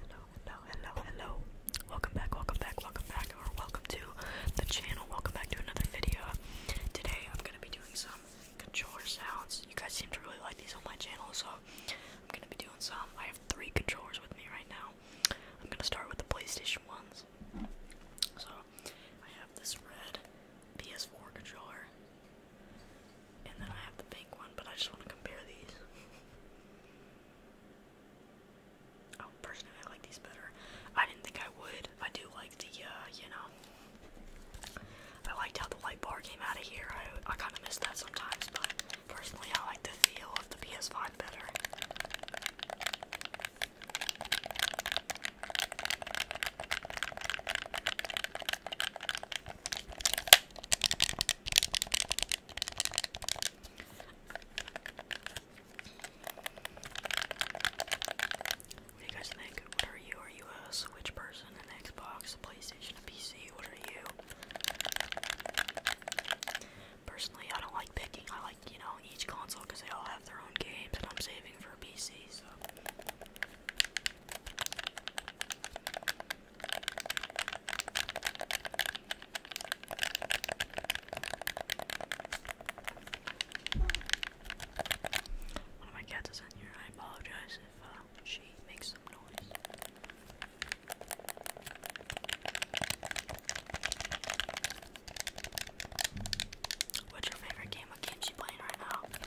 Hello, hello, hello, hello. Welcome back, welcome back, welcome back, or welcome to the channel. Welcome back to another video. Today I'm gonna be doing some controller sounds. You guys seem to really like these on my channel, so I'm gonna be doing some. I have three controllers with me right now. I'm gonna start with the PlayStation ones. So I have this red PS4 controller and then I have the pink one, but I just want to compare these. oh, personally, I like these better. I didn't think I would. I do like the, uh, you know, I liked how the light bar came out of here. I, I kind of miss that sometimes, but personally, I like the feel of the PS5 better. What do you guys think? What are you? Are you a Switch person, an Xbox, a PlayStation, a PC? What are you? Personally, I don't like picking. I like, you know, each console because they all have their own games, and I'm saving for a PC, so. One of my cats is in here. I apologize if uh, she makes some noise. What's your favorite game? of game's you playing right now?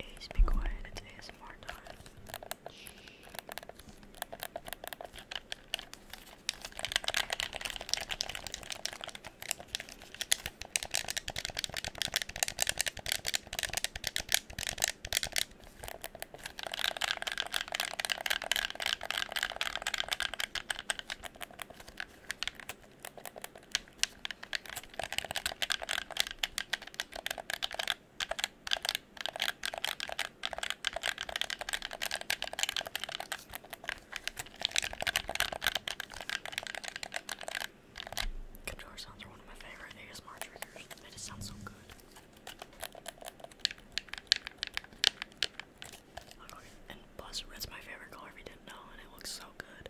Ace, be quiet, it's ASMR time. Guitar sounds are one of my favorite ASMR triggers. They just sound so good. And buzz red's my favorite color if you didn't know, and it looks so good.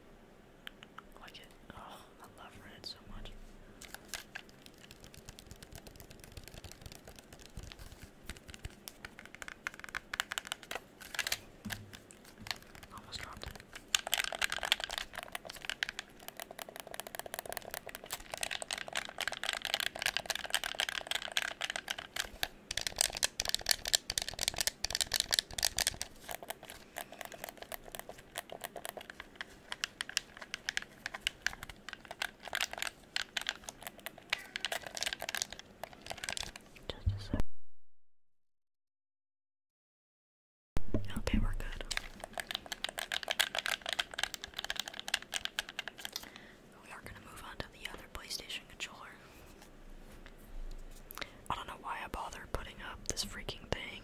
Like it. Oh, I love red so much. Almost dropped just a second. Okay, we're good. We are going to move on to the other PlayStation controller. I don't know why I bother putting up this freaking thing.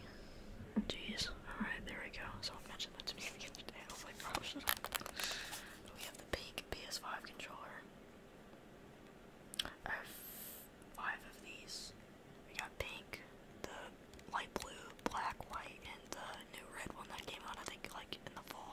Jeez. Alright, there we go. So I mentioned that to me again today. I oh, We have the pink PS5 controller. I have five of these. We got pink, the light blue, black, white, and the new red one that came out, I think, like in the fall.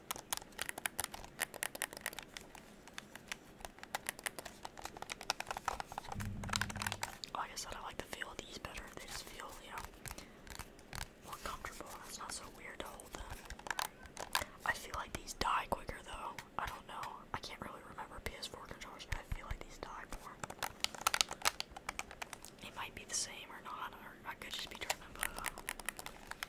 Like oh, I said, I like the feel of these better. They just feel, you know, more comfortable. It's not so weird to hold them. I feel like these die quicker, though. I don't know. I can't really remember PS4 controllers, but I feel like these die more. It might be the same or not, or I could just be tripping,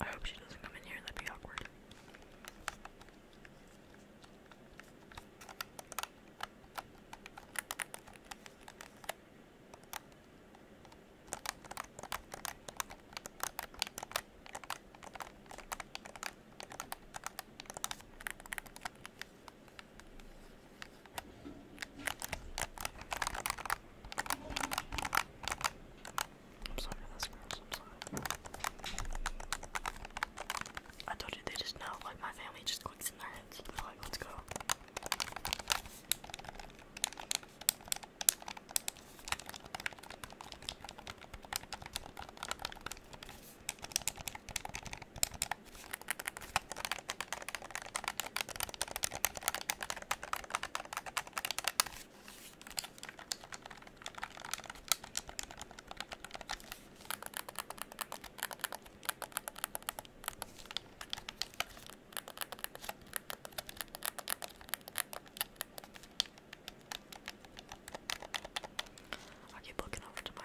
I hope she doesn't come in here, that'd be awkward. I'm sorry, told you they just know, like my family just clicks in their heads. like, let's go. I keep looking over to my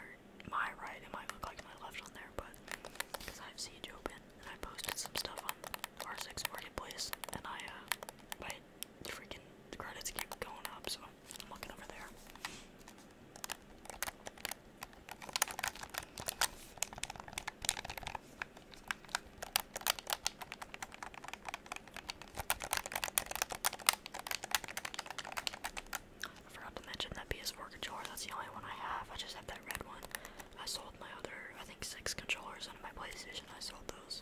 my right, it might look like my left on there, but because I have Siege open and I posted some stuff on R6 Marketplace, and I, uh, my freaking credits keep going up, so I'm looking over there. I forgot to mention that PS4 controller, that's the only one I have. I just have that red one. I sold my other, I think, six controllers on my PlayStation. I sold those.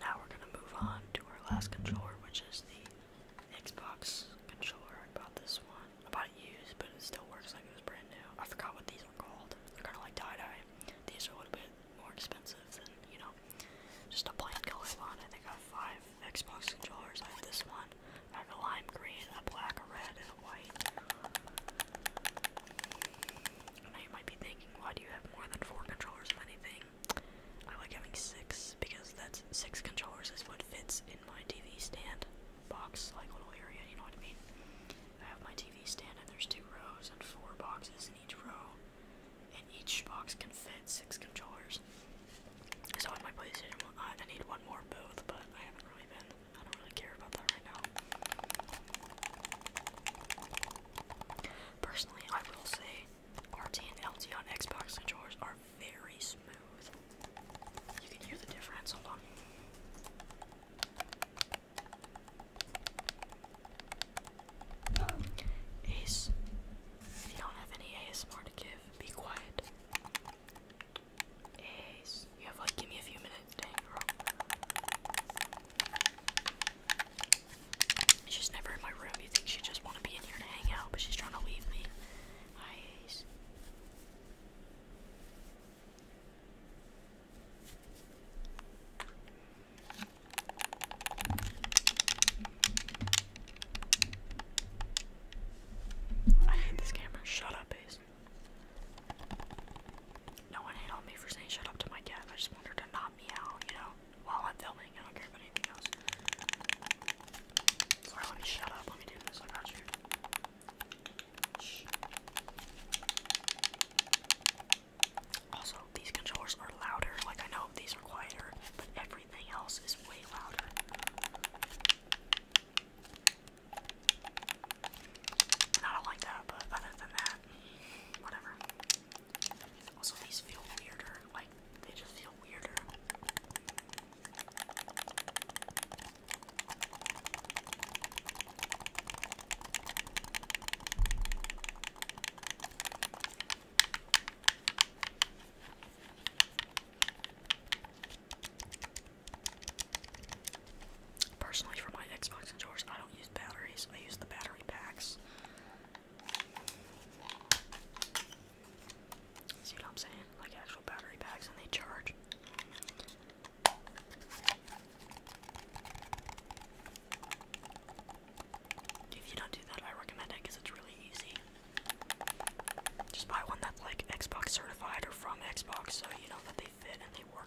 Now we're going to move on to our last controller, which is the Xbox controller. I bought this one. I bought it used, but it still works like it was brand new. I forgot what these are called. They're kind of like tie-dye. These are a little bit more expensive than, you know, just a plain colored one. I think I have five Xbox controllers. I have this one. I have a lime green, a black, a red, and a white. And now you might be thinking, why do you have more than four controllers of anything? I like having six because that's six controllers is what fits in my TV stand box, like little area, you know what I mean? I have my TV stand and there's two rows and four boxes in each row, and each box can fit six controllers. So in my PlayStation, I, I need one more booth, but I haven't really been, I don't really care about that right now. Personally, I will say RT and LT on Xbox controllers are very smooth. You can hear the difference. Hold on. Ace, if you don't have any ASMR to give, be quiet. Ace, you have like, give me a few minutes, dang girl. She's never in my room. You think she just want to be in here to hang out, but she's trying to leave me. Nice. I hate this camera. Shut up, Ace. No one hate me for saying shut up to my cat. I just want to knock me out, you know? while I'm filming. I don't care about anything else. Sorry, let me shut up. Let me do this. I got you. Also, these controllers are louder. Like, I know these are quieter, but everything else is way louder. And I don't like that, but other than that, whatever. Also, these feel weirder. Like, like they just feel weirder. Personally, for my Xbox controllers, I don't use batteries. I use the battery packs. See what I'm saying? Like actual battery packs and they charge. If you don't do that, I recommend it because it's really easy. Just buy one that's like Xbox certified or from Xbox so you know that they fit and they work.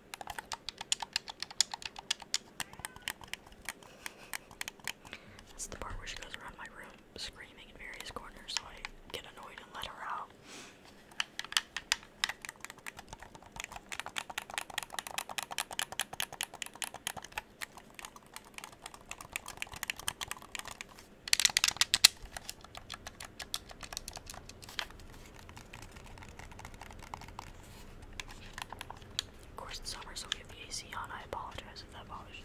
That's the part where she goes around my room screaming in various corners, so I get annoyed and let her out. Of course, it's summer, so we have AC on. I apologize if that bothers you.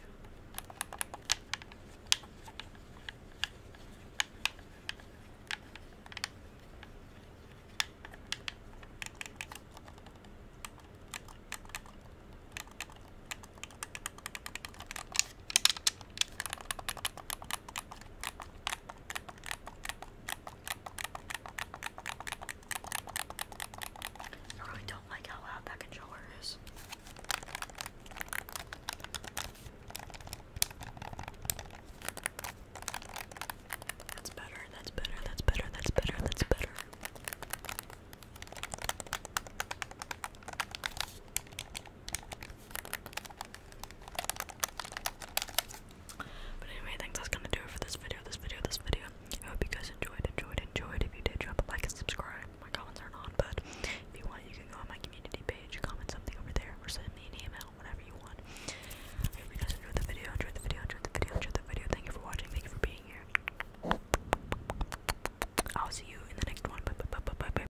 I really don't like how loud that controller is. That's better, that's better, that's better, that's better, that's better. But anyway, I that's gonna do it for this video, this video, this video. I hope you guys enjoyed, enjoyed, enjoyed. If you did, drop a like and subscribe. My comments aren't on, but if you want, you can go on my community page, comment something over there, or send me an email, whatever you want. I hope you guys enjoyed the video, enjoyed the video, enjoyed the video, enjoyed the video. Thank you for watching, thank you for being here. I'll see you in the next one. Bye bye bye bye bye.